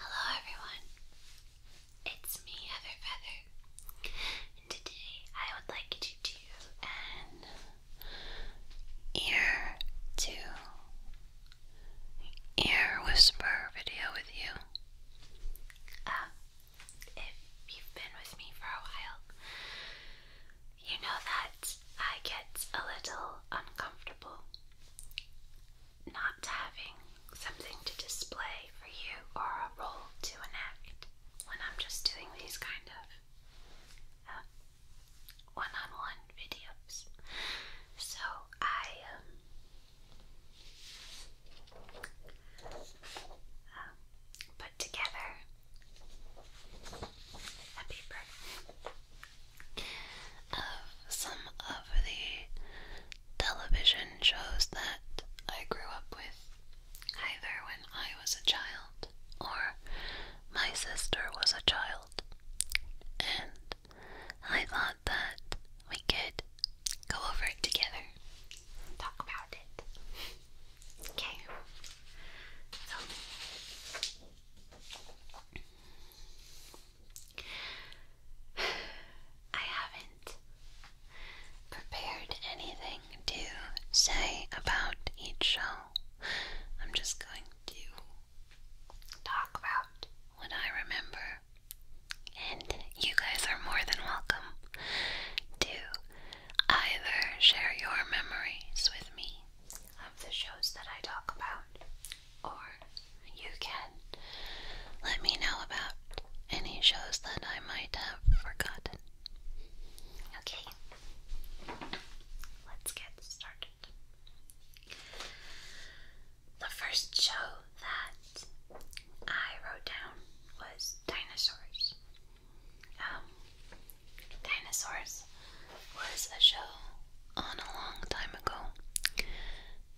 Hello everyone, it's me Heather Feather, and today I would like to do an ear to ear whisper video with you. Um, if you've been with me for a while, you know that I get a little uncomfortable not having something to display for you or a role to enact when I'm just doing these kind of one on one videos. So I um, um, put together a paper of some of the television shows that I grew up with, either when I was a child or my sister was a child. And I thought that we could go over it together, talk about it. Okay. So I haven't prepared anything to say about each show. I'm just going to talk about what I remember. And you guys are more than welcome to either share your memories with me of the shows that I talk about or you can let me know about any shows that I might have forgotten. Okay, let's get started. The first show that I wrote down was Dinosaurs. Um, Dinosaurs was a show on a long time ago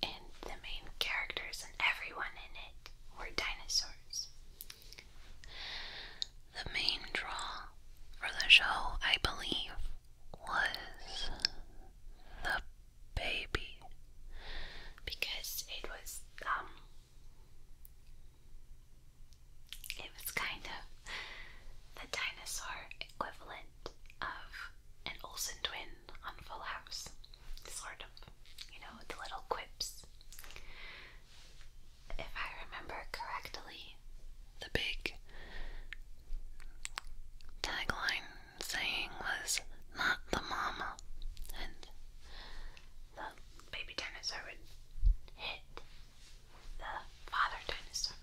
and the main characters and everyone in it were dinosaurs. The main draw for the show, I believe, was the baby because it was um it was kind of the dinosaur equivalent of an Olsen twin on Full House. Sort of. You know, the little quips. If I remember correctly, the big tagline saying was not the mama and the baby dinosaur hit the father dinosaur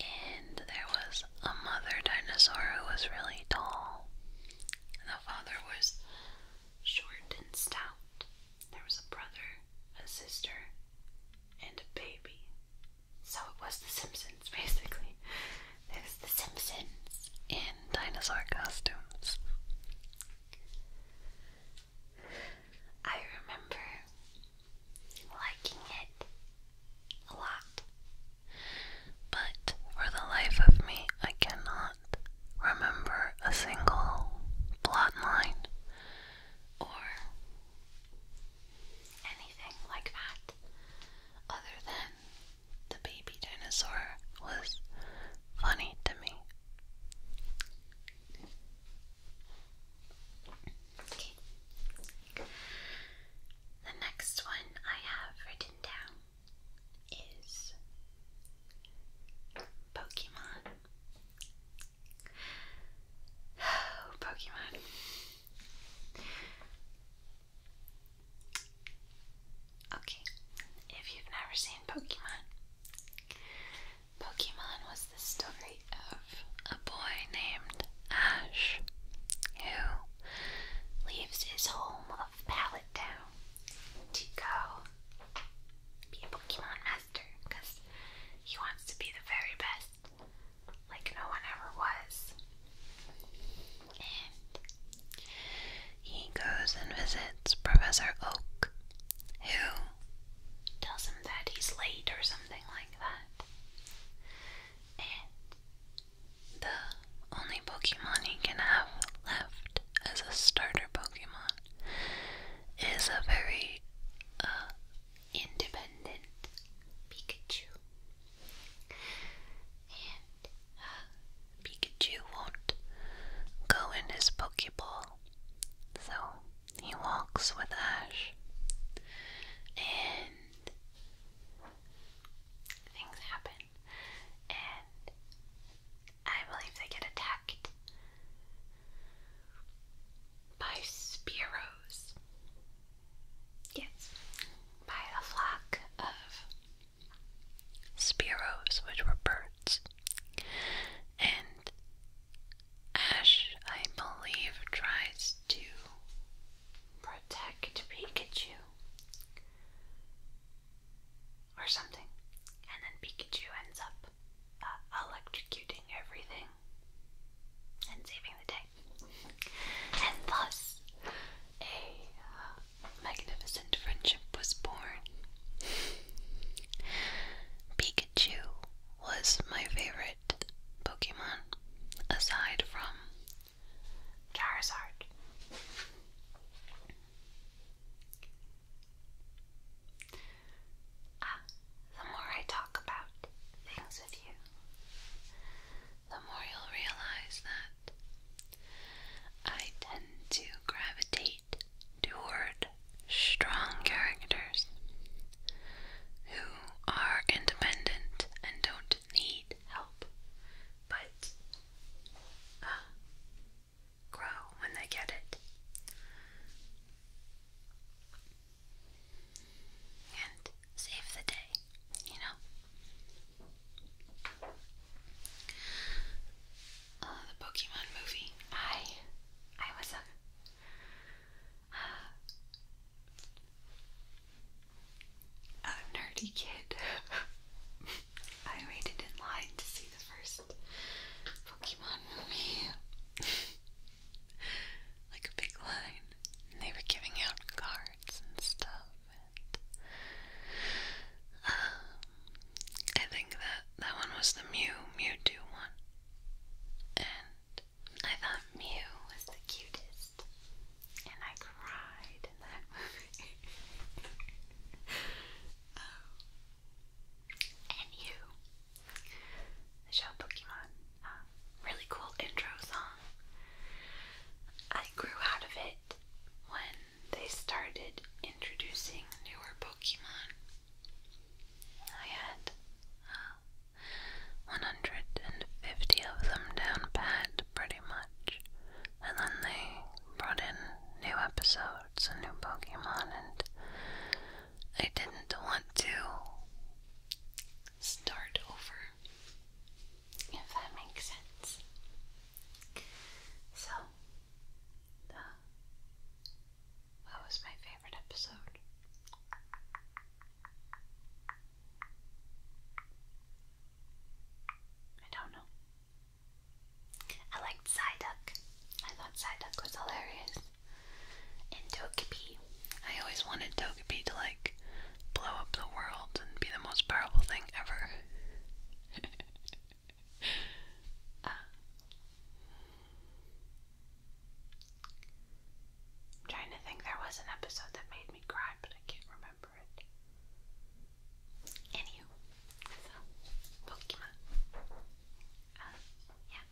and there was a mother dinosaur who was really tall, and the father was short and stout. There was a brother, a sister, and a baby. So it was The Simpsons, basically. It was The Simpsons in dinosaur costumes. I remember liking it a lot. But for the life of me, I cannot remember a single plot line or anything like that other than the baby dinosaur was funny to me. Okay. The next one I have written down is Pokemon. Oh, Pokemon. Okay, if you've never seen Pokemon, Pokemon was the story of a boy named Ash who leaves his home of Pallet Town to go be a Pokemon Master he wants to be the very best, like no one ever was. he goes and visits Professor Oak, who tells him that he's late or something like that. And the only Pokemon he can have left as a starter Pokemon is a very uh, independent Pikachu. And uh, Pikachu won't go in his Pokeball, so he walks with Ash. And things happen, and I believe they get attacked by sparrows. Yes, by a flock of sparrows, which were birds, and Ash, I believe, tries to Protect Pikachu or something. And then Pikachu ends up uh, electrocuting everything and saving the day. And thus, a uh, magnificent friendship was born. Pikachu was my favorite Pokemon, aside from Charizard. Ah, the more I talk about things with you, the more you'll realize that I tend to gravitate toward strong characters who are independent and don't need help, but uh, grow when they get it. And save the day, you know? Uh, the Pokemon movie. I I was up a nerdy kid. I waited in line to see the first Pokemon movie. like a big line. they were giving out cards and stuff. um, I think that that one was the Mew Mewtwo one. And I thought Mew was the cutest, and I cried in that movie. oh. And you, the show Pokemon, uh, really cool intro song. I grew out of it when they started introducing newer Pokemon. I had uh, 150 of them down pat, pretty much. And then they brought in new episodes and new Pokemon, and I didn't want to start over, if that makes sense. So, what was my favorite episode? I don't know. I liked Psyduck. I thought Psyduck was hilarious. And Togepi. I always wanted Togepi to like blow up the world and be the most powerful thing ever. Uh, I'm trying to think there was an episode that made me cry, but I can't remember it. Anywho, Pokemon. Um, yeah.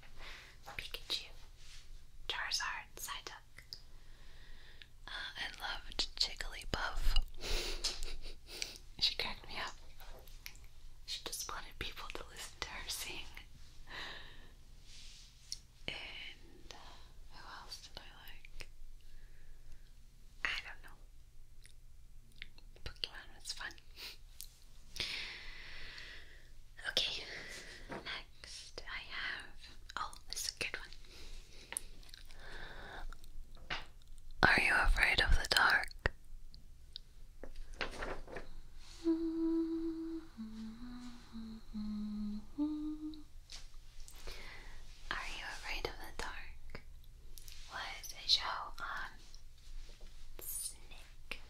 Pikachu. Charizard, Psyduck. Uh, I loved Jigglypuff. she cracked me up. She just wanted people to listen to her sing. And uh, who else did I like? I don't know. Pokemon was fun. okay, next I have. Oh, this is a good one. Are you afraid of the dark? Mm-hmm. Mm Are you afraid of the dark? Was a show on Snick,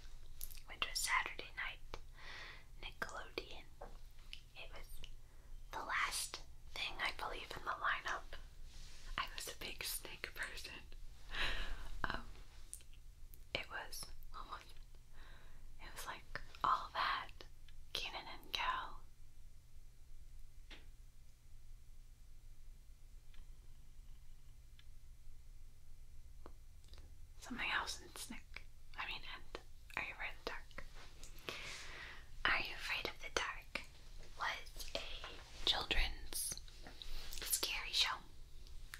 which was Saturday night, Nickelodeon. It was the last thing I believe in the lineup. I was a big Snick person. um, it was almost. Oh it was like all that Kenan and Cal Something else in SNICK. I mean, and Are You Afraid of the Dark? Are You Afraid of the Dark was a children's scary show.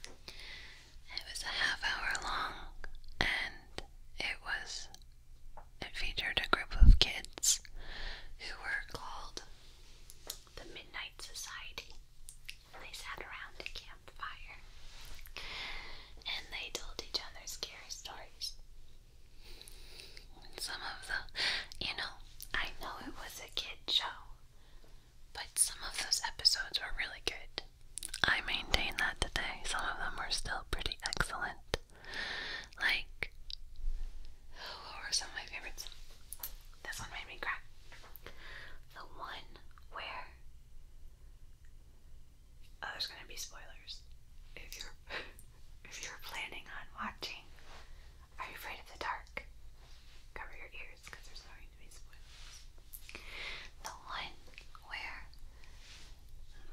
It was a half hour long and it was it featured a group of kids who were called the Midnight Society. and They sat around a campfire and they told each other scary stories. Some of the, you know, I know it was a kid show, but some of those episodes were really good. I maintain that today. Some of them were still pretty excellent. Like, what were some of my favorites? This one made me cry. The one where. Oh, there's gonna be spoilers. If you're if you're planning on watching, are you afraid of the dark? Cover your ears because there's going to be spoilers. The one where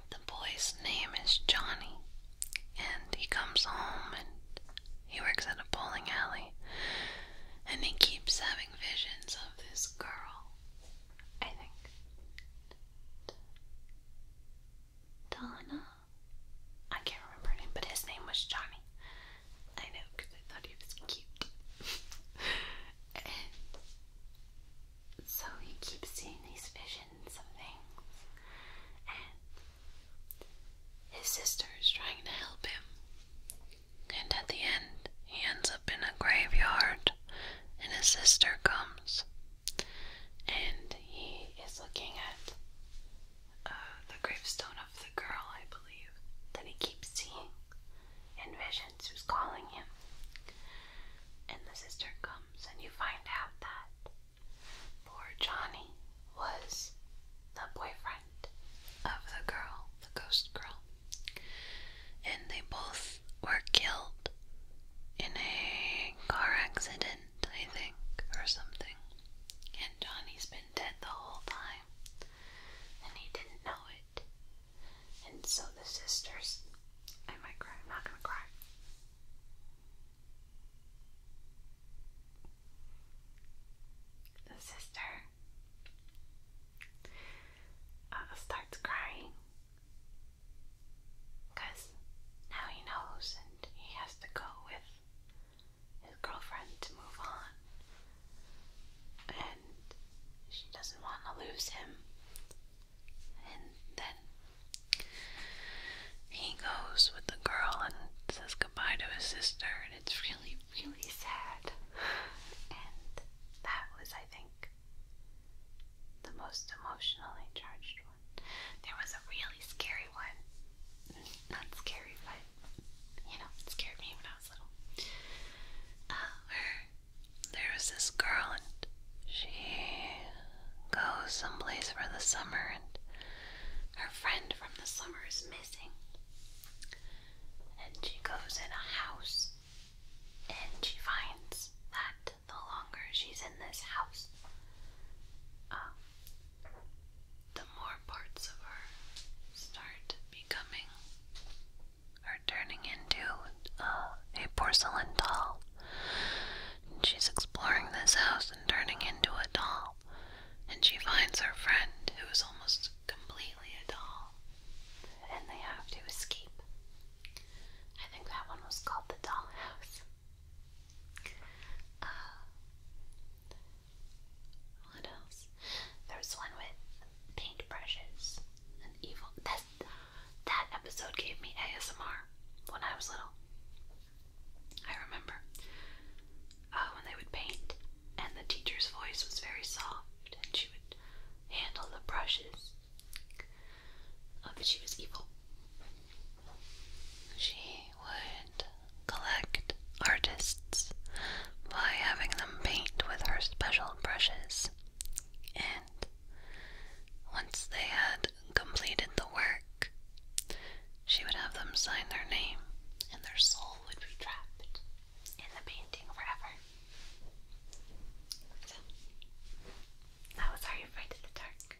the boy's name is Johnny, and he comes home and he works at a bowling alley, and he keeps having visions of this girl. I think. Donna? I can't remember her name, but his name was Johnny. I know, because I thought he was cute. So he keeps seeing these visions of things, and his sister is trying to help him. And at the end, he ends up in a graveyard, and his sister comes, and he is looking at uh, the gravestone of the girl, I believe, that he keeps seeing in visions who's calling him. And the sister comes and you find out that poor Johnny was the boyfriend of the girl, the ghost girl. And they both were killed in a car accident, I think, or something. And Johnny's been dead the whole time. And he didn't know it. And so the sisters, I might cry, I'm not gonna cry. The sister uh, starts crying because now he knows and he has to go with his girlfriend to move on. And she doesn't want to lose him, and then he goes with the girl and says goodbye to his sister, and it's really, really sad. And that was, I think, the most emotionally charged one. There was a really scary one. Not scary, but you know, it scared me when I was little. Uh, there's this girl, and she goes someplace for the summer, and her friend from the summer is missing. And she goes in a house, and she finds that the longer she's in this house, uh, the more parts of her start becoming or turning into uh, a porcelain doll. And she's exploring this house and turning into a doll. And she finds her friend, who is almost completely a doll. And they have to escape. I think that one was called The Dollhouse. Uh, what else? There was one with paintbrushes. An evil that episode gave me ASMR when I was little. I remember uh, when they would paint, and the teacher's voice was very soft, and she would handle the brushes. but she was evil. She would collect artists by having them paint with her special brushes and once they had completed the work, she would have them sign their name, and their soul would be trapped in the painting forever. that was Are You Afraid of the Dark?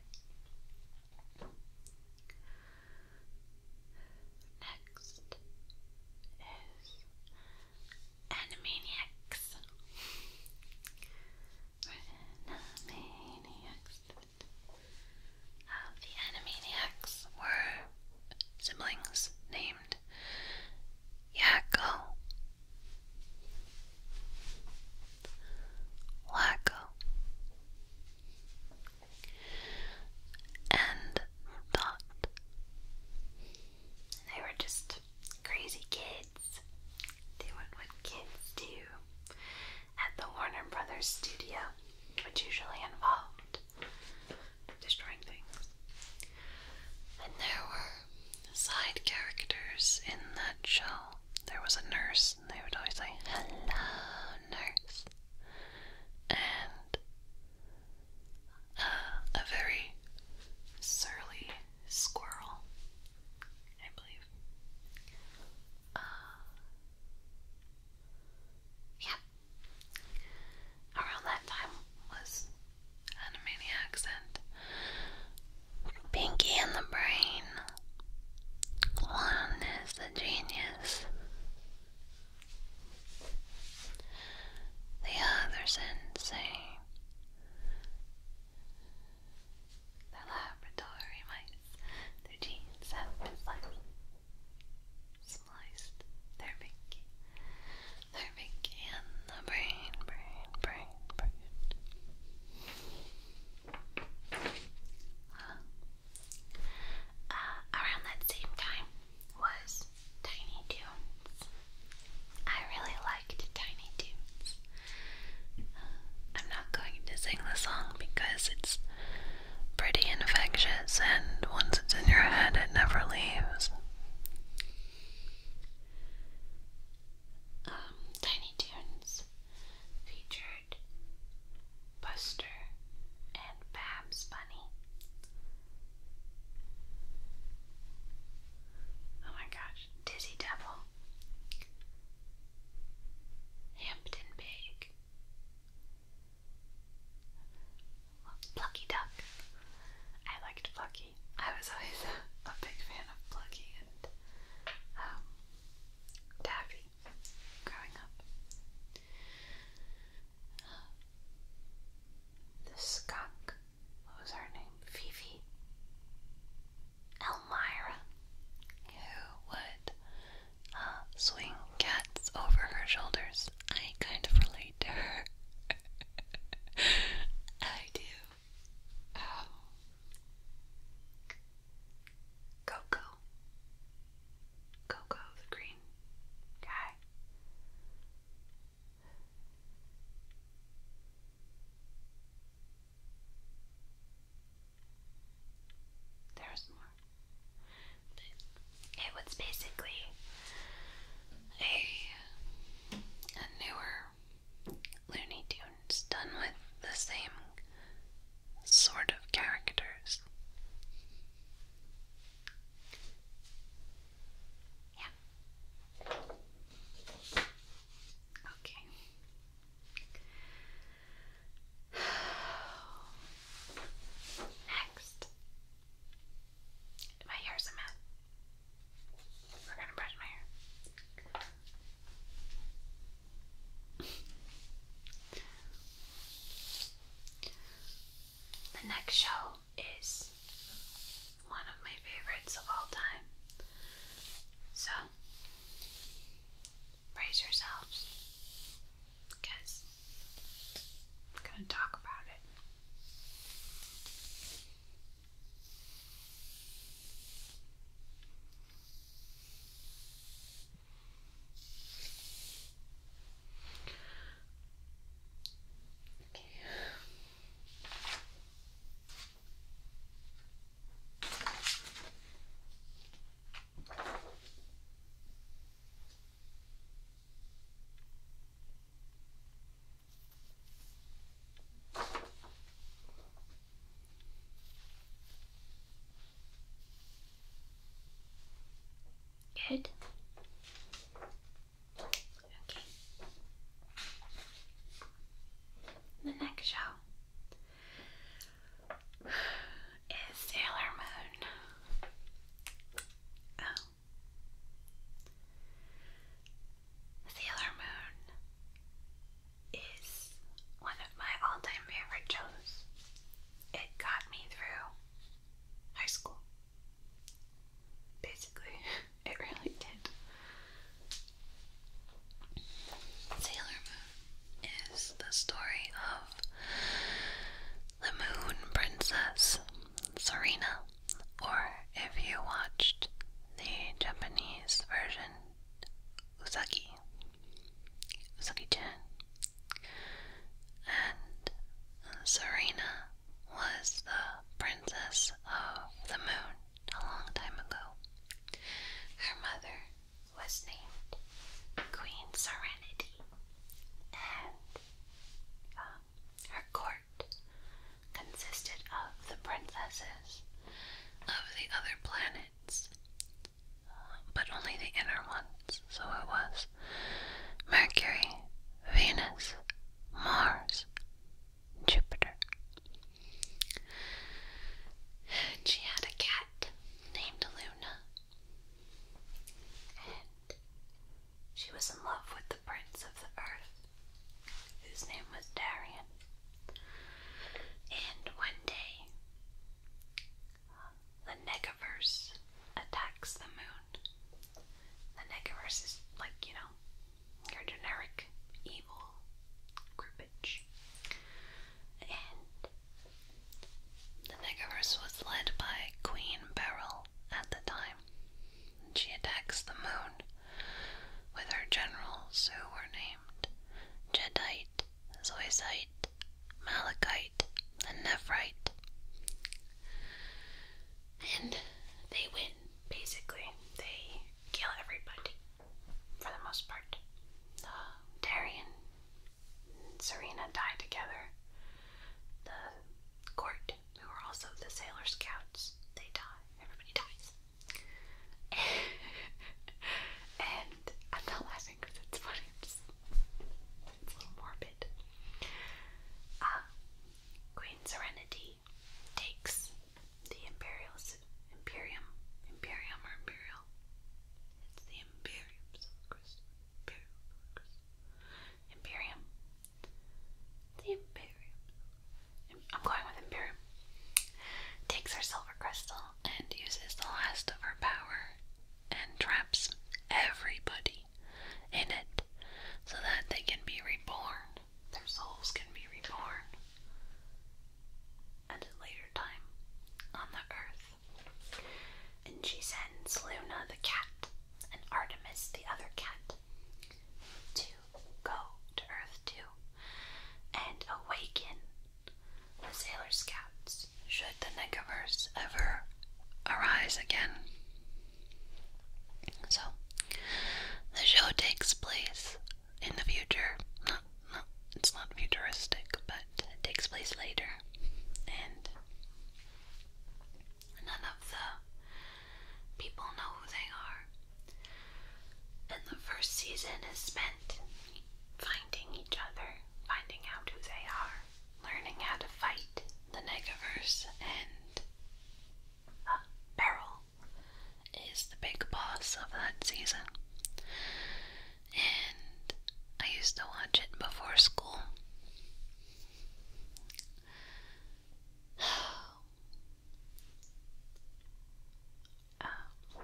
Next is Animaniacs the Animaniacs were siblings named Yakko, Wacko, and Dot. They were just crazy kids doing what kids do at the Warner Brothers studio, which usually involved destroying things. And there were side characters in that show. There was a nurse, and they would always say, Hello, nurse. And uh, a very surly squirrel. Uh, yeah. Around that time was Animaniacs and Pinky and the Brain. One is the genius. The other's insane. The laboratory mice, their genes have been sliced. their pinky. Their pinky and the brain, brain, brain, brain. Uh, around that same time was Tiny Toons. I really liked Tiny Toons. I'm not going to sing the song because it's pretty infectious, and once it's in your head, it never leaves. Um, Tiny Toons featured Buster and Babs Bunny. Oh my gosh, Dizzy Devil. Hampton Pig, Plucky Duck. I liked Plucky. I was always a, big fan of Plucky and um, Daffy growing up. the skunk. What was her name? Fifi. Elmira, who would uh, swing cats over her shoulders. I kind of relate to her. I do. Um, Coco. Coco, the green guy. There's more. it was basically a, a newer Looney Tunes done with the same sort of characters. Yeah. Okay. Next, my hair's a mess. We're gonna brush my hair. The next show is one of my favorites of all time. So, Raise yourselves because I'm going to talk about it. Okay. Good. Okay. The next shell is Sailor Moon. Oh. Sailor Moon is one of my all time favorite shows. It got me through high school. Basically, it really did. Sailor Moon is the story of the Moon Princess Serena, or if you watched the Japanese version, Usagi. Usagi-chan. And Serena was the princess of the moon a long time ago. Her mother was named Queen Serenity, and um, her court consisted of the princesses of the other planets, but only the inner ones. So it was Mercury, Venus, Mars, Jupiter, she had a cat named Luna. And she was in love with the prince of the earth, whose name was Darian. And one day, the Negaverse attacks the moon. The Negaverse is like, you know, your generic evil groupage and the Nigiverse was led by Queen Beryl at the time. She attacks the moon with her generals who were named Jedite, Zoisite, Malachite, and Nephrite. And they win, basically. They kill everybody for the most part. Uh, Darian and Serena die together. The court, who are also the Sailor Scouts, they die. Everybody dies. and I'm laughing because it's funny. It's, a little morbid. Uh, Queen Serenity takes the imperial imperium imperium or imperial. It's the imperium Christ. Imperium Imperium. The imperium. I'm going with imperium. Takes her silver crystal and uses the last of her power and traps everybody in it so that they can be reborn. Their souls can be reborn at a later time on the earth. And she sends Luna the cat and Artemis the other cat to go to Earth too and awaken the Sailor Scouts should the Negaverse ever arise again. So, the show takes place in the future. Not, not, it's not futuristic, but it takes place later, and none of the people know who they are. And the first season is spent finding each other, finding out who they are, learning how to fight the Negaverse, and uh, Beryl is the big boss of that season and I used to watch it before school. Um,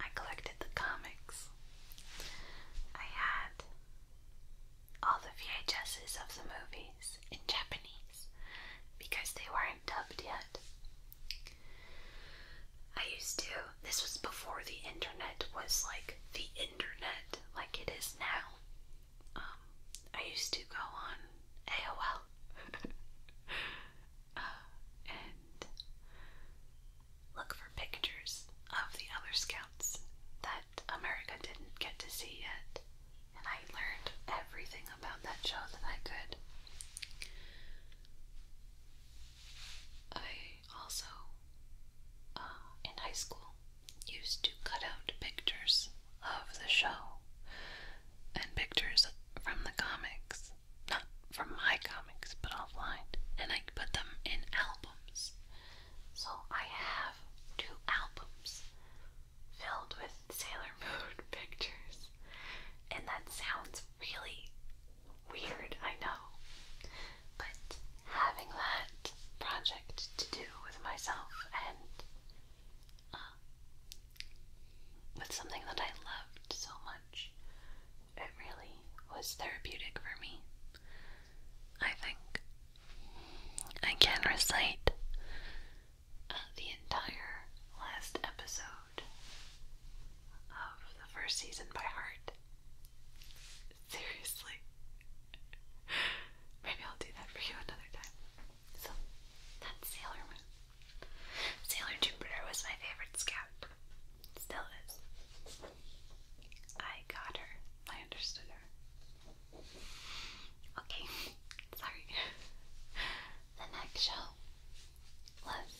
I collected the comics. I had all the VHSs of the movies in Japanese because they weren't dubbed yet. I used to, this was before the internet was like the internet like it is now. Um, I used to go on AOL uh, and look for pictures of the other scouts that America didn't get to see yet. And I learned everything about that show that I could. I also, uh, in high school, used to cut out pictures of the show and pictures from the comics, not from my comics, but offline, and I put them in albums. So I have two albums filled with Sailor Moon pictures, and that sounds really weird, I know, but having that project to do with myself and um, with something that I loved so much, it really was therapeutic for me. I think I can recite uh, the entire last episode of the first season by heart. Seriously. Maybe I'll do that for you another time. So, that's Sailor Moon. Sailor Jupiter was my favorite scout. Still is. I got her. I understood her. Okay, sorry. the next show was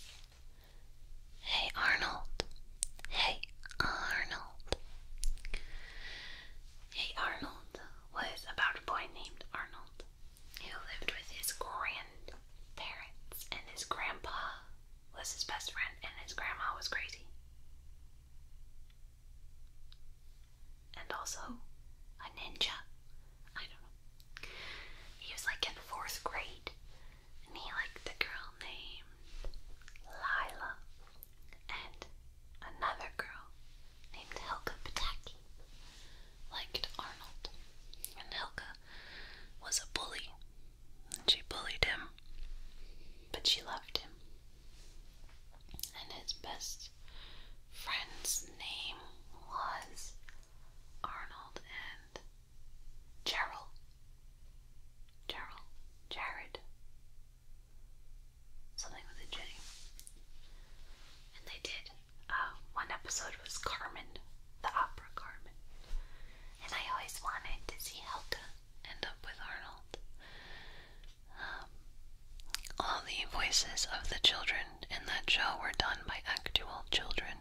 Hey Arnold. Hey Arnold. Hey Arnold was about a boy named Arnold who lived with his grandparents, and his grandpa was his best friend, and his grandma was crazy. And also a ninja. I don't know. He was like in fourth grade and he liked a girl named Lila and another girl named Helga Pataki liked Arnold. And Helga was a bully and she bullied him, but she loved him. And his best friend's name was Arnold and Gerald. Gerald. Jared. Something with a J. And they did. Uh, one episode was Carmen, the opera Carmen. And I always wanted to see Helga end up with Arnold. Um, all the voices of the children in that show were done by actual children.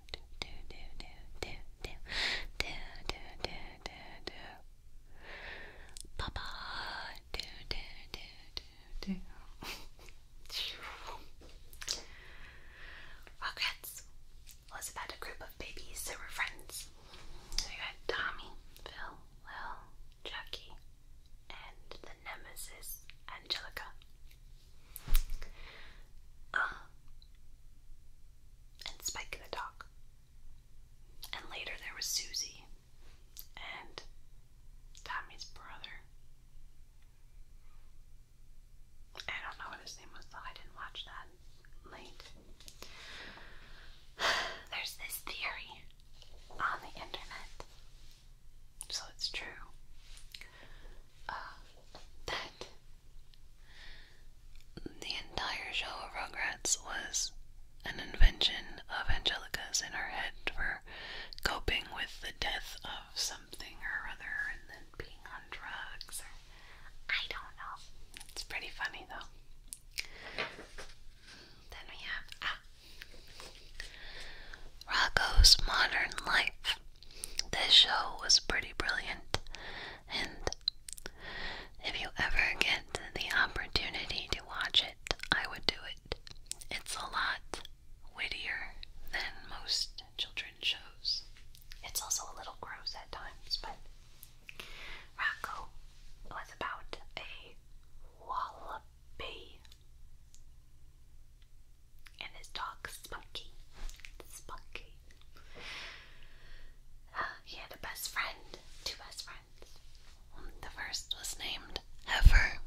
do do do do do do do do do do Papa do do do do do Rugrats was about a group of babies that were friends. We had Tommy, Phil, Lil, Chucky, and the nemesis Angelica. Uh, and Spike the dog. And later there was Susie and Tommy's brother. I don't know what his name was though, I didn't watch that late. There's this theory on the internet, so it's true, that the entire show of Rugrats was an invention of Angelica's in her head for coping with the death of something or other and then being on drugs or I don't know. It's pretty funny though. Then we have ah, Rocco's Modern Life. This show was pretty brilliant, and if you ever get the opportunity to watch it, I would do it. It's a lot wittier than most children's shows. It's also a little gross at times, but Rocco was about a wallaby. And his dog Spunky. Spunky he had a best friend, two best friends. The first was named Heifer,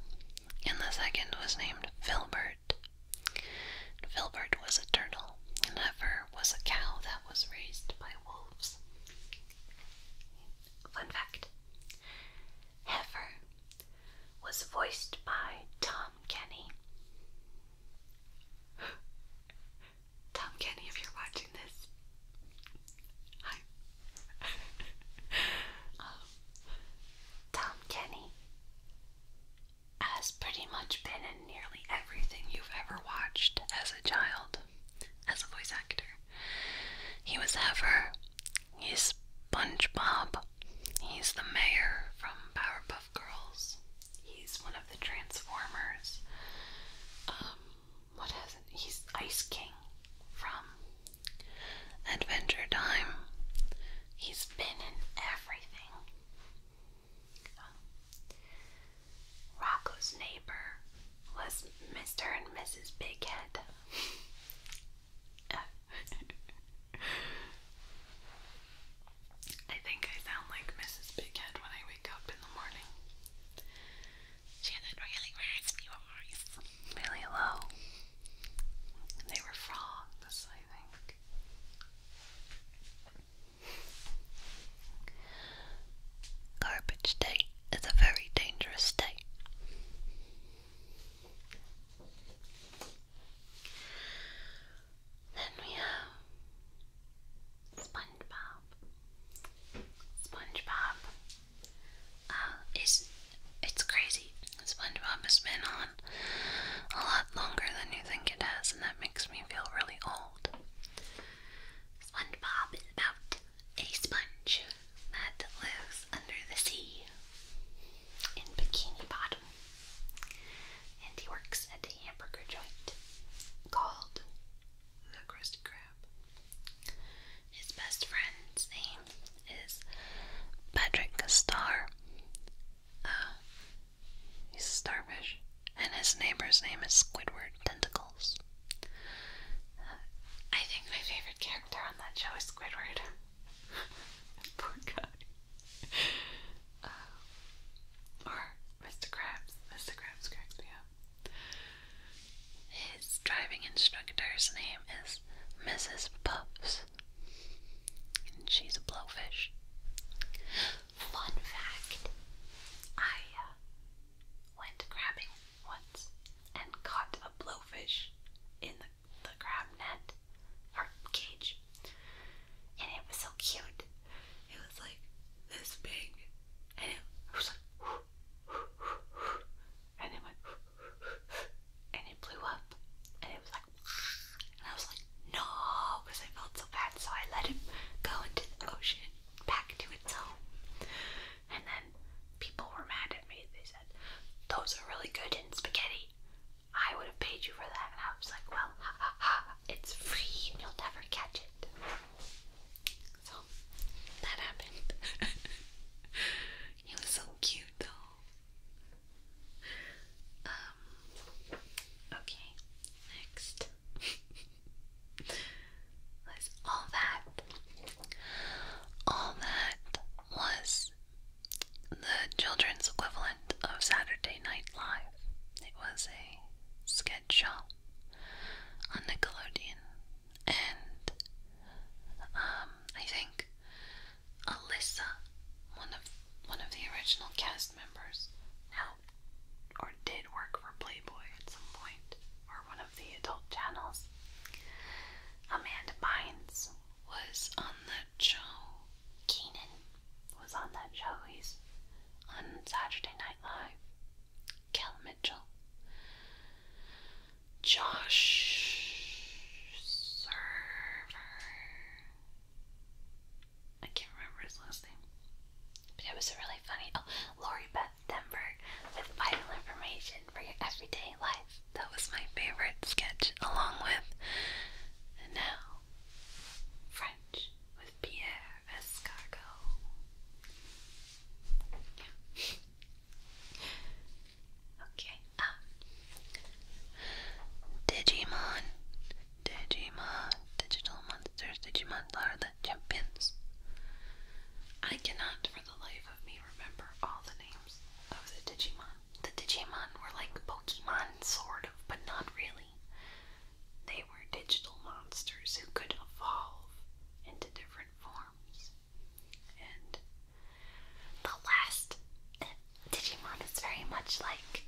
and the second was named Filbert. Filbert was a turtle, and Heifer was a cow that was raised by wolves. Fun fact Heifer was voiced by Tom Kenny. Tom Kenny, if you're watching this, um, Tom Kenny has pretty much been in nearly everything you've ever watched as a child, as a voice actor. He was Ever, he's SpongeBob, he's the mayor from Powerpuff Girls. He's one of the Transformers. Um, what has He's Ice King from Adventure Time. He's been in everything. Rocco's neighbor was Mr. and Mrs. Bighead. I think I sound like Mrs. Bighead when I wake up in the morning. She had a really raspy voice. Really low. They were frogs, I think. Garbage day is a very dangerous day. Then we have SpongeBob. SpongeBob uh, is it's crazy. SpongeBob has been on a lot longer than you think it has, and that makes me feel really old. SpongeBob is about a sponge that lives under the sea in Bikini Bottom, and he works at the joint called the Krusty Krab. His best friend's name is Patrick Star. Uh, he's a starfish, and his neighbor's name is Squidward Tentacles. Uh, I think my favorite character on that show is Squidward. Poor guy. Uh, or Mr. Krabs. Mr. Krabs cracks me His driving instructor's name is Mrs. Puffs. And she's a blowfish. Fun fact I uh, went crabbing once and caught a blowfish in the, the crab net or cage and it was so cute. It was like this big, and it was like, and it went, and it blew up, and it was like, and I was like, no, because I felt so bad, so I let him go into the ocean, back to its home, and then people were mad at me. They said, those are really good in spaghetti. I would have paid you for that, and I was like, well, ha ha ha, it's free and you'll never catch it. So that happened. he was so cute though. Um okay, next was all that all that was the children's equivalent of Saturday Night Live. It was a sketch show on Nickelodeon, and um, I think Alyssa, one of one of the original cast members, now or did work for Playboy at some point, or one of the adult channels. Amanda Bynes was on the show Keenan was on that show. He's on Saturday Night Live. Kel Mitchell. Josh Server. I can't remember his last name. But it was a really funny. Oh, Lori Beth Denberg with vital information for your everyday life. That was my favorite sketch, along with. now French with Pierre Escargot. Yeah. okay. Um, Digimon, Digimon, digital monsters, Digimon are the champions. I cannot, for the life of me, remember all the names of the Digimon. The Digimon were like Pokemon, sort of, but not really. They were digital monsters who could evolve into different forms. And the last Digimon is very much like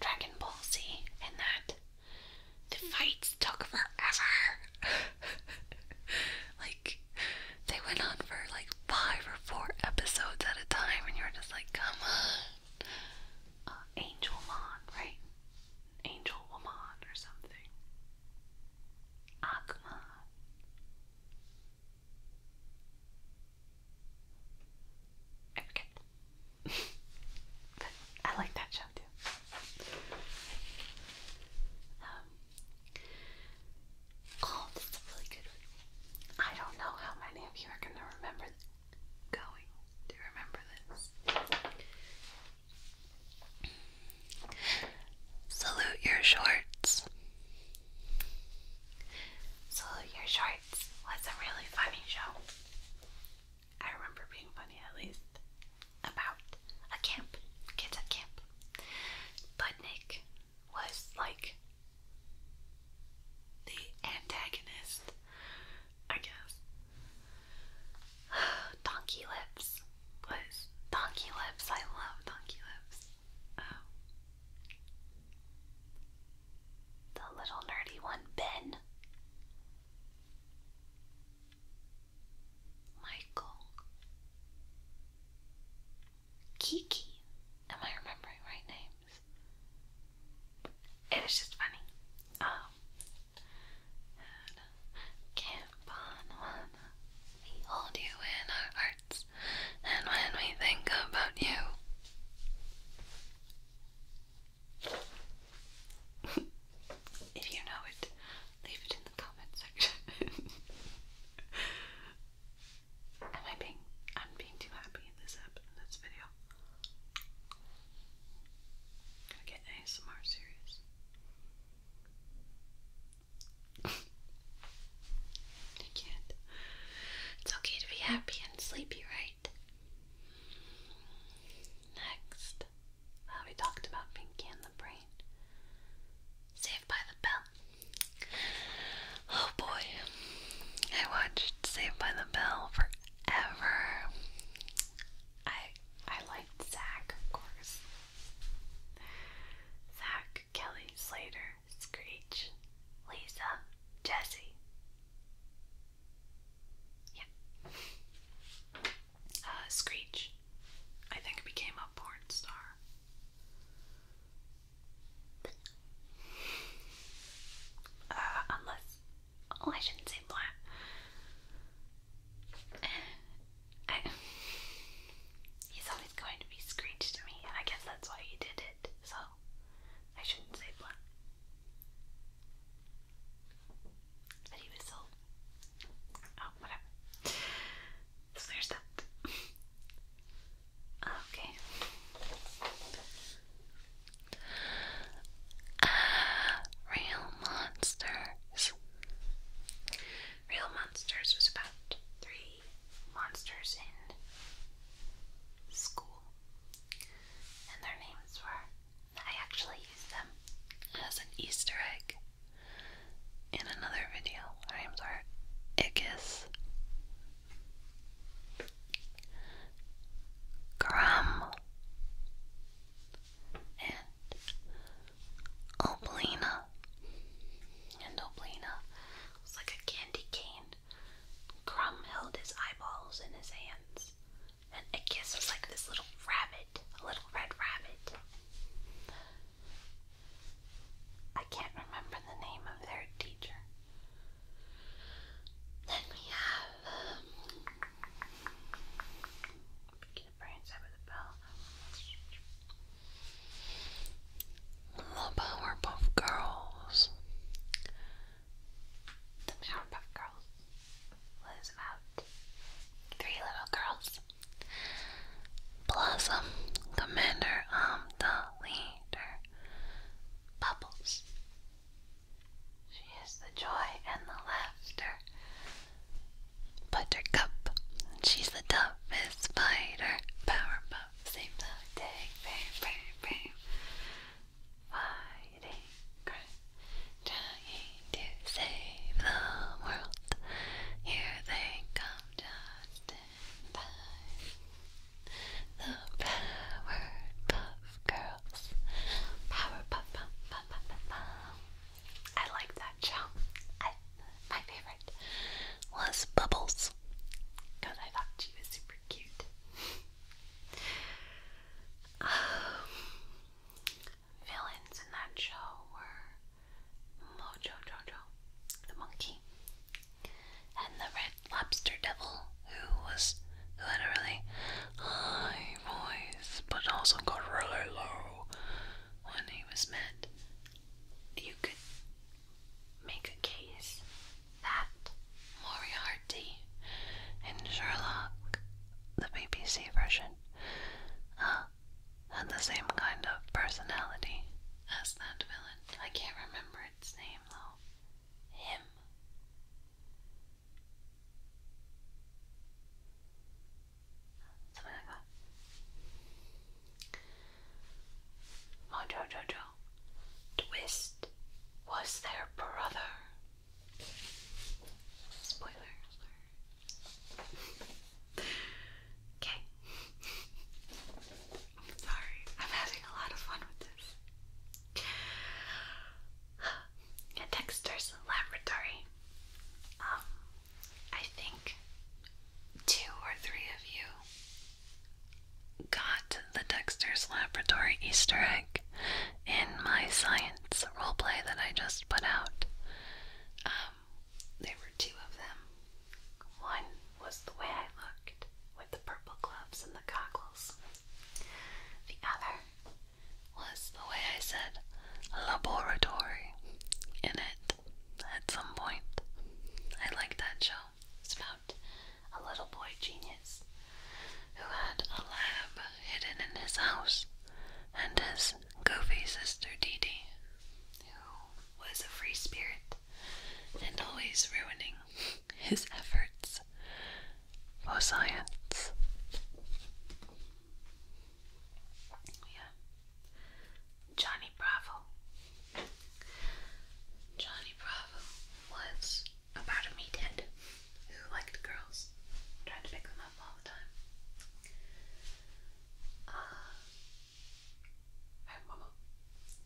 Dragon Ball Z in that the fights took forever. like, they went on for like five or four episodes at a time, and you were just like, come on. Uh, Angel Mon, right? Angel Woman or something. Akuman. I but I like that show too. Um, oh, this is really good I don't know how many of you are going to remember going to remember this. Salute your shorts. Salute your shorts was a really funny show. I remember being funny at least about a camp, kids at camp. Budnick was like the antagonist I guess. donkey Lips was Donkey Lips. I love Donkey Lips. Oh. The little nerdy one, Ben. Michael. Kiki. Am I remembering right names? It is just funny. Um, and We hold you in our hearts, and when we think about you, if you know it, leave it in the comment section. Am I being? I'm being too happy in this app in this video. Gotta get ASMR serious. I can't. It's okay to be happy and sleepy, right? Next, we talked about Pinky and the Brain. Saved by the Bell. Oh boy, I watched Saved by the Bell forever. I I liked Zach, of course. Zach, Kelly, Slater, Screech, Lisa, Jesse. Yeah. Uh, Screech, I think, became a porn star. Uh, unless Oh, I shouldn't say more. Uh, he's always going to be screeched to me, and I guess that's why you did it, so I shouldn't say more. But he was so. Oh, whatever. So there's that. okay. Real Monsters. Real Monsters was about three monsters in school, and their names were. I actually used them as an Easter egg in another video. Their names are Iggis, Grum, and Oblina. And Oblina was like a candy cane. Crumb held his eyeballs in his hands, and Ickis was like this little rabbit, a little red rabbit. I can't remember the name of their teacher. Then we have um, the Powerpuff Girls. The Powerpuff Girls was about three little girls. Blossom, Commander, i um, the leader. Bubbles, she is the joy and the laughter. Buttercup, she's the toughest spider. Powerpuff, save the day. Brave, brave, brave. Fighting crime, trying to save the world. Here they come just in time. The Powerpuff Girls. Powerpuff, I like that show. my favorite was Bubbles because I thought she was super cute. Um, villains in that show were Mojo Jojo, the monkey, and the red lobster devil who was who had a really high voice, but also got really low when he was mad. You could make a case that Moriarty and Sherlock, the BBC version, uh, had the same kind of personality as that villain. I can't remember its name though. Him. Something like that. Mojo Jojo. Twist was their brother. Spoiler alert. okay. Sorry, I'm having a lot of fun with this. Dexter's laboratory. Um, I think two or three of you got the Dexter's laboratory Easter egg in my science roleplay that I just put out. Um, there were two of them. One was the way I looked with the purple gloves and the goggles. The other was the way I said laboratory in it at some point. I liked that show. It's about a little boy genius who had a lab hidden in his house and his goofy sister Dee Dee, who was a free spirit and always ruining his efforts for science. Yeah. Johnny Bravo. Johnny Bravo was about a meathead who liked girls, tried to pick them up all the time. Uh, I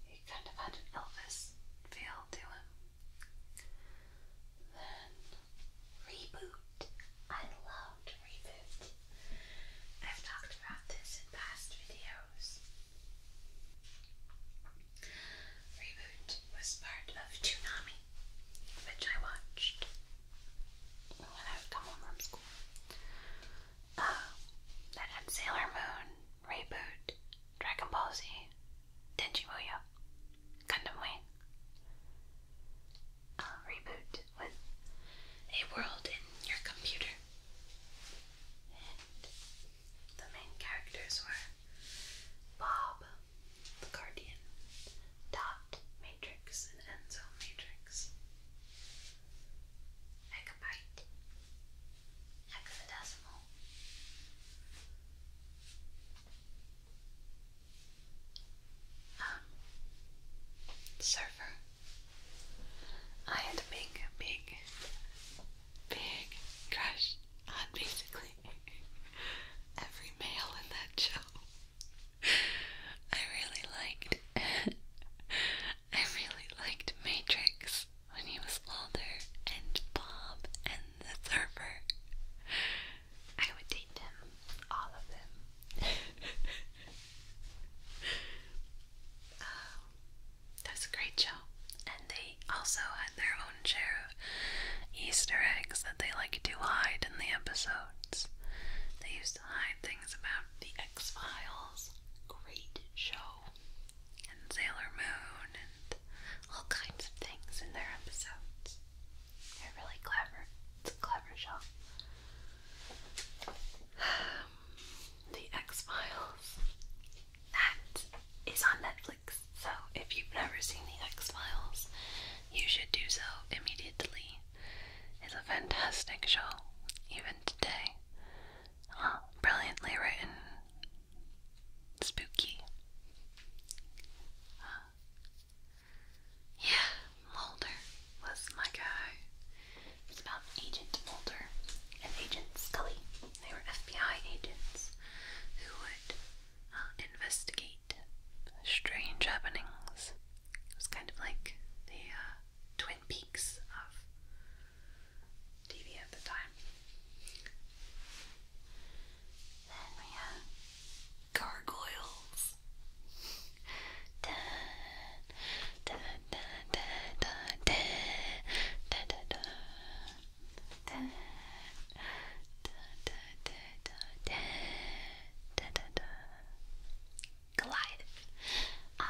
he kind of had an Elvis feel to him. Reboot. I loved Reboot. I've talked about this in past videos. Reboot was part of Toonami, which I watched when I would come from school. Uh, that Sailor Moon, Reboot, Dragon Ball Z, Denji Muyo, Gundam Wing. i reboot with a world in your computer. And the main characters were Bob, the Guardian, Dot, Matrix, and Enzo Matrix. Megabyte, hexadecimal, um, I had a big, big, big crush on basically every male in that show. I really liked, I really liked Matrix when he was older, and Bob and the surfer. I would date them, all of them. uh, that's a great show. And they also had their own share of Easter eggs that they like to hide in the episodes. They used to hide things about the X Files. Great show. And Sailor Moon and all kinds of things in their episodes they really clever. It's a clever shop. the X Files. That is on Netflix. So if you've never seen the X Files, you should do so immediately. It's a fantastic show, even today. Oh, brilliantly written, spooky. Yeah, Mulder was my guy. It's about Agent Mulder and Agent Scully. They were FBI agents who would uh, investigate strange happenings. It was kind of like the uh, Twin Peaks of TV at the time. Then we have gargoyles. da, da, da, da, da, da, da, da, da. Da, da, da, da, da, da, da, da. Goliath. Um,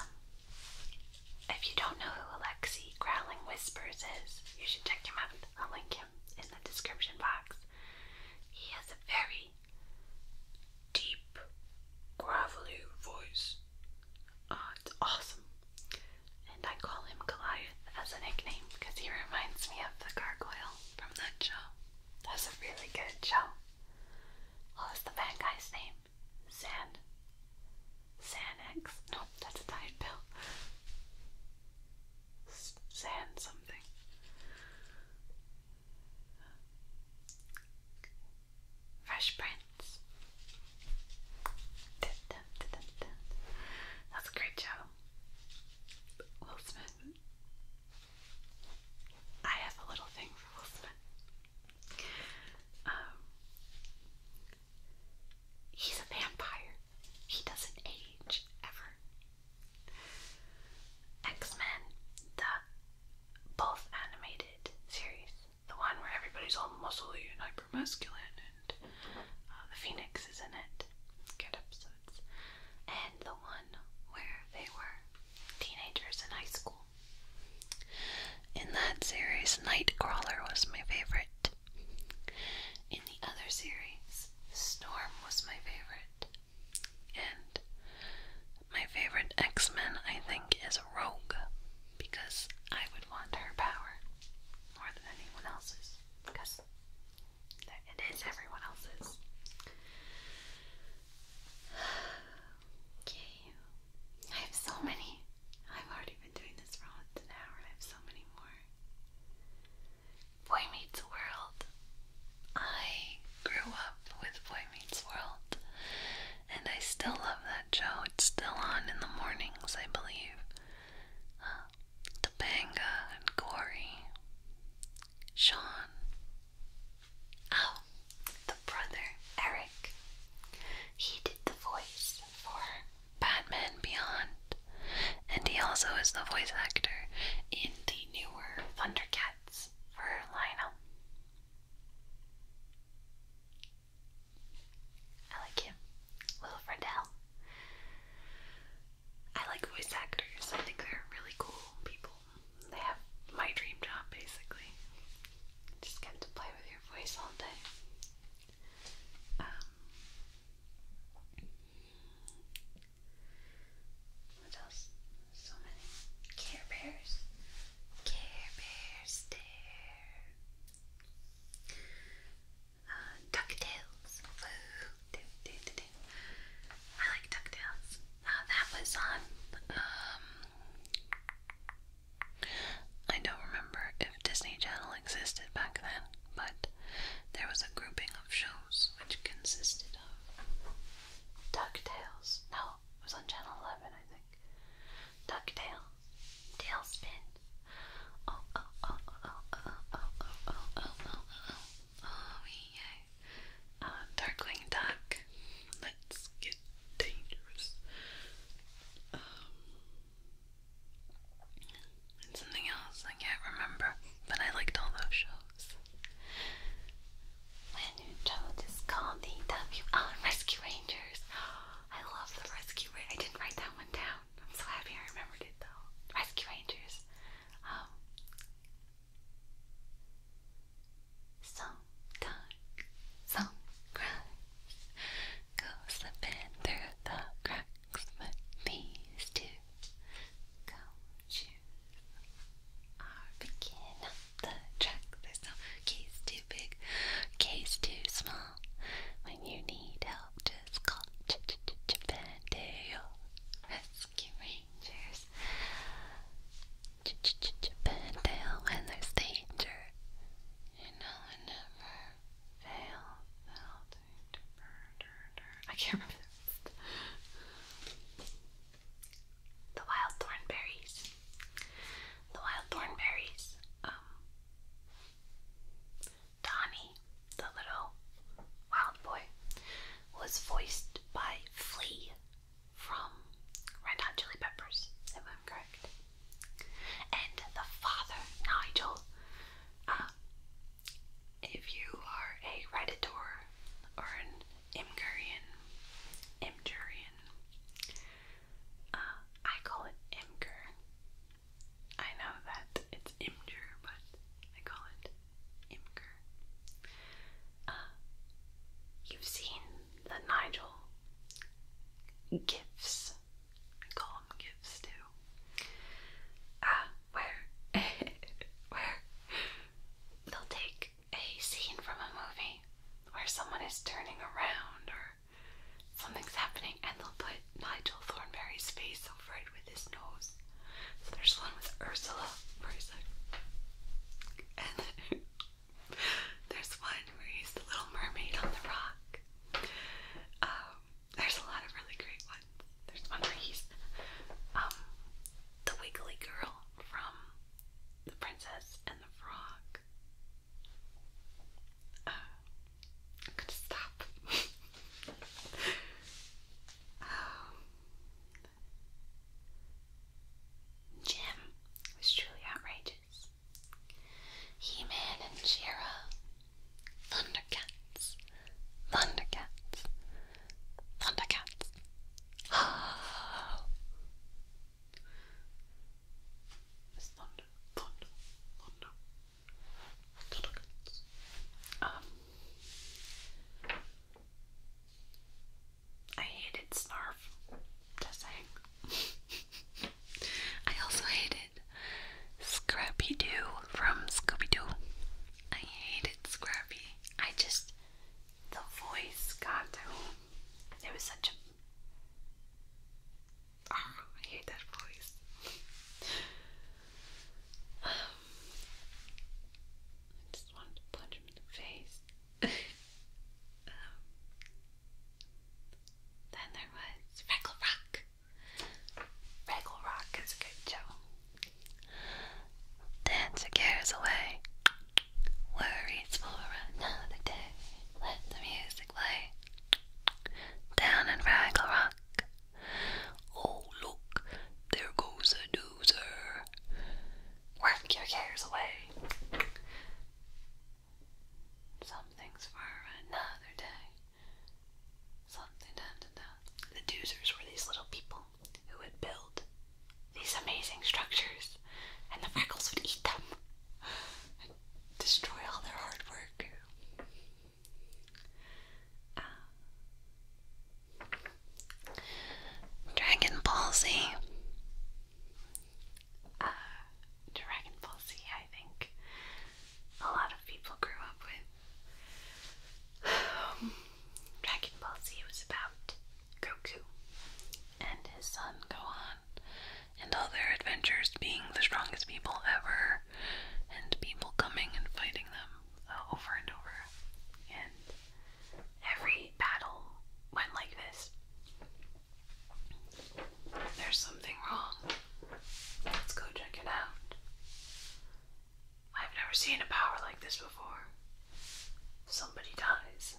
if you don't know who Alexei Growling Whispers is, you should check him out. I'll link him in the description box. He has a very deep, gravelly voice. Uh, it's awesome. And I call him Goliath as a nickname because he reminds me of the gargoyle from that show. That's a really good show. What was the bad guy's name? San. Xanax? No, that's a diet pill. San something. Fresh Prince. That's a great show. Will Smith. I have a little thing for Will Smith. Um, he's a vampire. He doesn't age ever. X-Men, the both animated series, the one where everybody's all muscly and hyper masculine, and uh, the Phoenix is in it. Good episodes. And the one where they were teenagers in high school. In that series, Nightcrawler was my favorite. In the other series, Storm was my favorite. And my favorite X Men, I think, is Rogue because I would want her power more than anyone else's because it is everyone else's. Okay, I have so many. I've already been doing this for almost an hour, I have so many more. Boy Meets World. I grew up with Boy Meets World, and I still love that show. It's still on in the mornings, I believe. Uh, and Gory, Sean. Oh, the brother, Eric. He did the voice for Batman Beyond, and he also is the voice actor in the newer Thundercats for Lionel. I like him. Will I like voice actors. I think they're really cool people. They have my dream job basically. Just get to play with your voice all day. Um, what else? So many. Care Bears. Care Bear Stare. Uh, DuckTales. I like DuckTales. Uh, that was on, um, I don't remember if Disney Channel existed back then, but there was a grouping of shows which consisted of DuckTales. No, it was on Channel 11, I think. DuckTales. Tailspin. Oh, oh, oh, oh, oh, oh, oh, oh, oh, oh, oh, yeah. Darkwing Duck. Let's get dangerous. something else I can't remember, but I liked all those shows. When in trouble, the WR Rescue Rangers. I love the Rescue Rangers. I didn't write that one down. I'm so happy I remembered it though. Rescue Rangers. sometimes um, some crimes go slipping through the cracks, but these two go to uh, the track this time. Case too big, case too small. When you need help, just call Ch Ch Ch Chippendale Rescue Rangers. Ch Ch Ch Chippendale when there's danger. You know, I never fail. I can't remember the wild thornberries. The wild thornberries. Um, Donnie, the little wild boy, was voiced by Flea from Red Hot Chili Peppers, if i correct. And the father, Nigel, uh, if you are a Redditor or an Imgurian, Imgurian. Uh, I call it Imgur. I know that it's Imgur, but I call it Imgur. Uh, you've seen the Nigel gifts. I call them gifts too. Uh, where, where they'll take a scene from a movie where someone is turning around or something's happening, and they'll put Nigel Thornberry's face over it with his nose. So there's one with Ursula for a sec. And there's one where he's the Little Mermaid on the rock. Um, there's a lot of really great ones. There's one where he's um, the Wiggly Girl from The Princess and the Frog. Uh, i um, Jim was truly outrageous. He-Man and She-Ra, Thundercats, Thundercats, Thundercats. Oh. thunder, thunder, Thundercats. Um, I hated Snarf. Just saying. I also hated Scrappy Doo from Scooby Doo. I hated Scrappy. I just the voice, got I mean, it was such a. Ah, hate that voice. um, I just wanted to punch him in the face. um, then there was Regal Rock. Regal Rock is a good show. Dance cares away. Worries for another day. Let the music play. Down in Fraggle Rock. Oh, look, there goes a doozer. Work your cares away. Something's for another day. The doozers were these little people who would build these amazing structures, and the freckles would eat them and destroy all their hard work. Uh, Dragon Ball Z. Uh, Dragon Ball Z, I think a lot of people grew up with. Dragon Ball Z was about Goku and his son go on and all their adventures being the strongest people ever and people coming and fighting them uh, over and over. And every battle went like this. There's something wrong. Let's go check it out. I've never seen a power like this before. Somebody dies,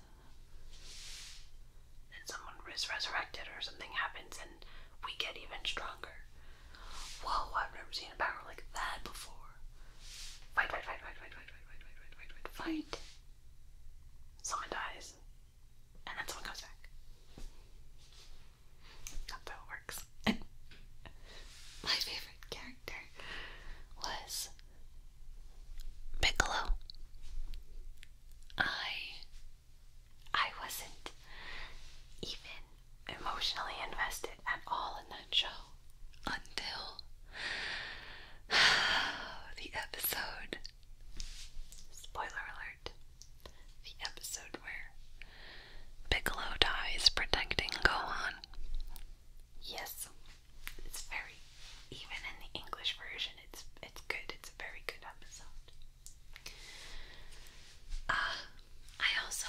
and someone is resurrected, or something happens, and we get even stronger. Whoa, I've never seen a power like that before. Fight, fight, fight, fight, fight, fight, fight, fight, fight, fight, fight, fight. Someone dies, and then someone comes back. That's how it works. my favorite character was Piccolo. I I wasn't even emotionally invested at all in that show until the episode spoiler alert the episode where Piccolo dies protecting Gohan. Yes, it's very even in the English version. It's it's good. It's a very good episode. Uh, I also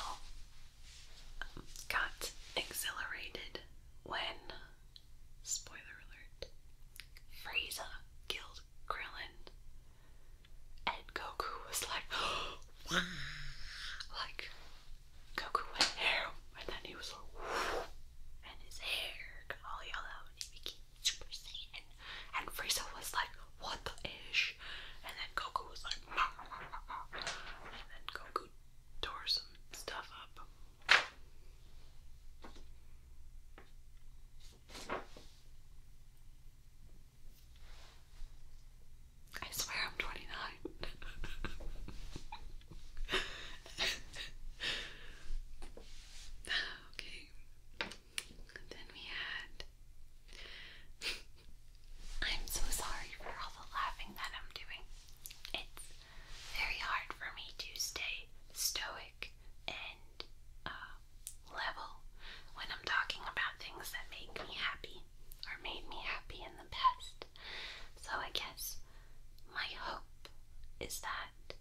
got exhilarated when spoiler alert Frieza killed Krillin. And Goku was like, like Goku went there, and then he was like, and his hair got all yellow, and he became Super Saiyan. And Frieza was like, what the ish? And then Goku was like, and then Goku tore some stuff up. I swear I'm 29. okay. Then we had. I'm so sorry for all the laughing that I'm doing. It's very hard for me to stay stoic and uh, level when I'm talking about things that make me happy or made me happy in the past. So I guess my hope is that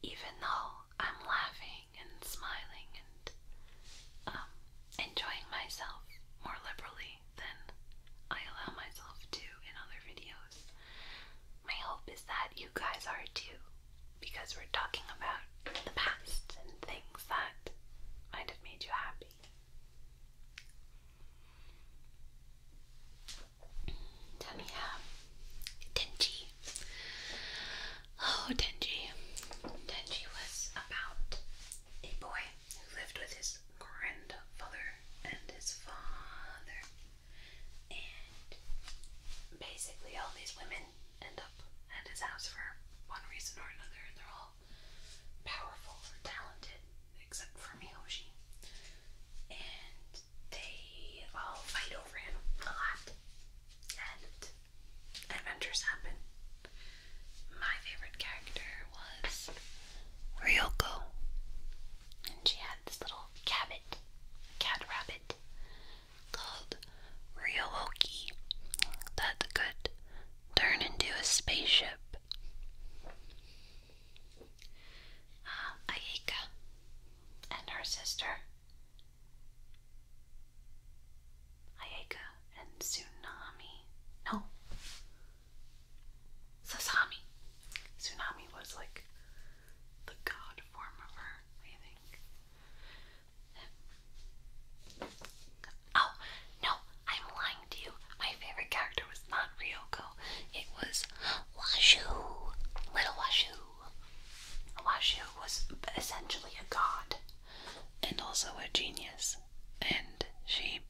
even though I'm laughing and smiling and um, enjoying myself more liberally than I allow myself to in other videos, my hope is that you guys are too, because we're talking about the past and things that might have made you happy. Tummy up. Uh, Denji. Oh, Denji. Denji was about a boy who lived with his grandfather and his father. And basically, all these women end up at his house for one reason or another. and They're all powerful and talented except for Miyoshi. And they all fight over him a lot. And adventures happen. My favorite character was Ryoko. And she had this little cabot, cat rabbit, called Ryowoki that could turn into a spaceship. Um, Aika and her sister. Ayaka and Tsunami. No. Sasami. Tsunami was like the god form of her, I think. Oh, no, I'm lying my favorite character was not Ryoko. It was Washu. Little Washu. Washu was essentially a god and also a genius. And she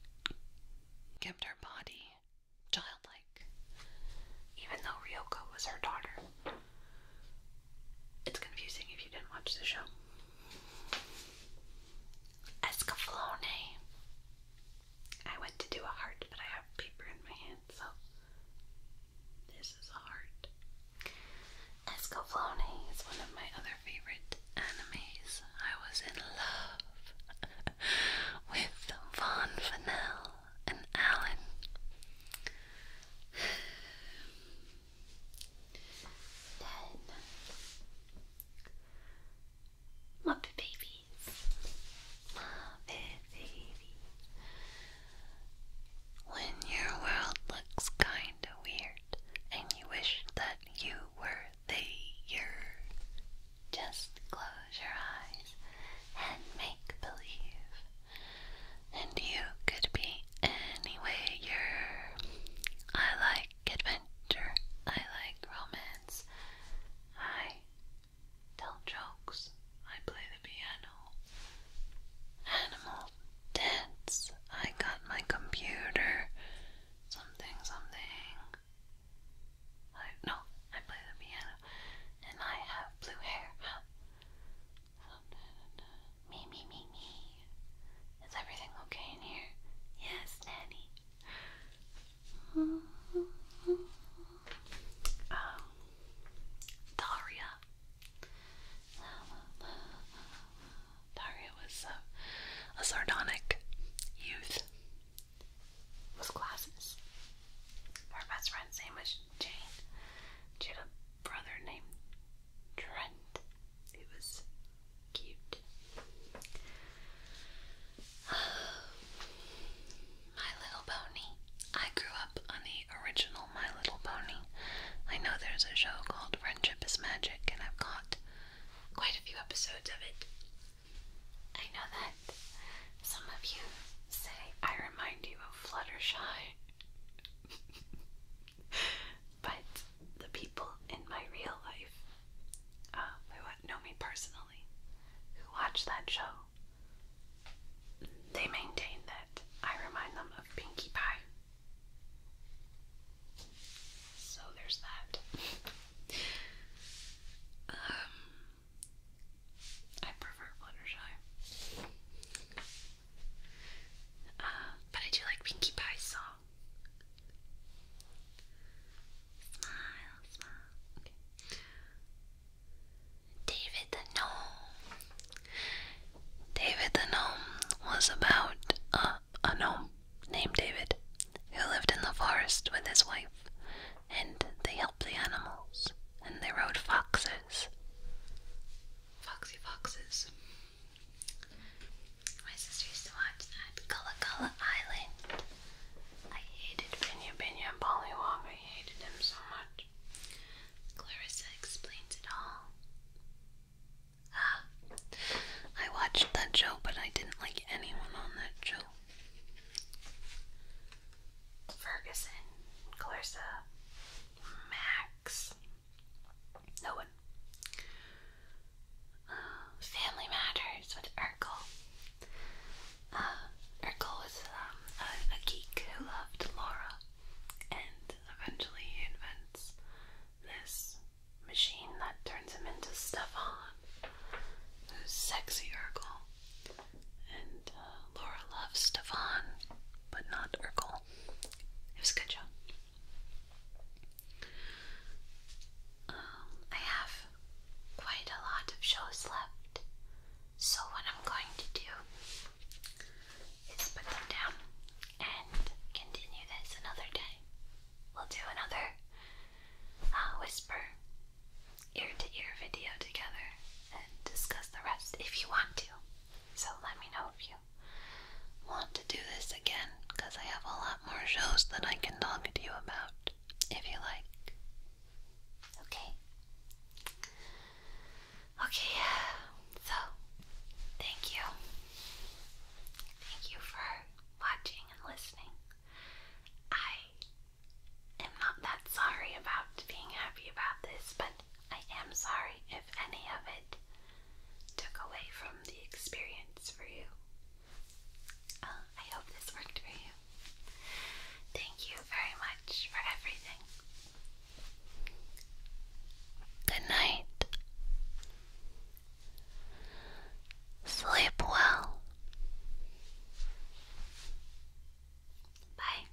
kept her body childlike, even though Ryoko was her daughter. It's confusing if you didn't watch the show. Escaflowne. I went to do a heart, but I have paper in my hand, so this is a heart. Escaflowne is one of my other favorite animes. I was in love with Von Fennell and Alan. Then Muppet Babies. Muppet Babies. When your world looks kinda weird and you wish that you were there, just close your eyes and make believe. And you could be anywhere you're. I like adventure. I like romance. I tell jokes, I play the piano. Animal dance, I got my computer. Something, something. no, I play the piano, and I have blue hair. me, me, me, me. Is everything okay in here? Yes, Nanny. Daria. Daria was a, sardonic youth with glasses. Her best friend's name was Jane. She had a brother named Trent. He was cute My Little Pony. I grew up on the original My Little Pony. I know there's a show called Friendship is Magic, and I've got quite a few episodes of it. I know that some of you say I remind you of Fluttershy. but the people in my real life uh, who know me personally, who watch that show, they maintain that I remind them of Pinkie Pie. So there's that. um, I prefer Fluttershy. Uh, but I do like Pinkie Pie's song. Smile, smile. Okay. David the Gnome. David the Gnome was about uh, a gnome named David who lived in the forest with his wife, and they helped the animals, and they rode foxes. Foxy foxes. My sister used to watch that. Gullah Gullah Island. I hated Binya Binya and Pollywog. I hated them so much. Clarissa explains it all. Ah, I watched that show, but I didn't like anyone on that show. Ferguson, Clarissa, Max, no one. Uh, Family Matters with Urkel. Uh, Urkel was um, a, geek who loved Laura, and eventually he invents this machine that turns him into Stefan, who's sexy Urkel. And uh, Laura loves Stefan, but not Urkel. It was good job. Um, I have quite a lot of shows left. So, what I'm going to do is put them down and continue this another day. We'll do another uh, whisper ear to ear video together and discuss the rest if you want to. So, let me know if you want to do this again because I have a lot more shows that I can talk to you about if you like. Okay. Okay, so thank you. Thank you for watching and listening. I am not that sorry about being happy about this, but I am sorry if any of it took away from the experience for you. Oh, I hope this worked for you. Thank you very much for everything. Good night. Sleep well. Bye.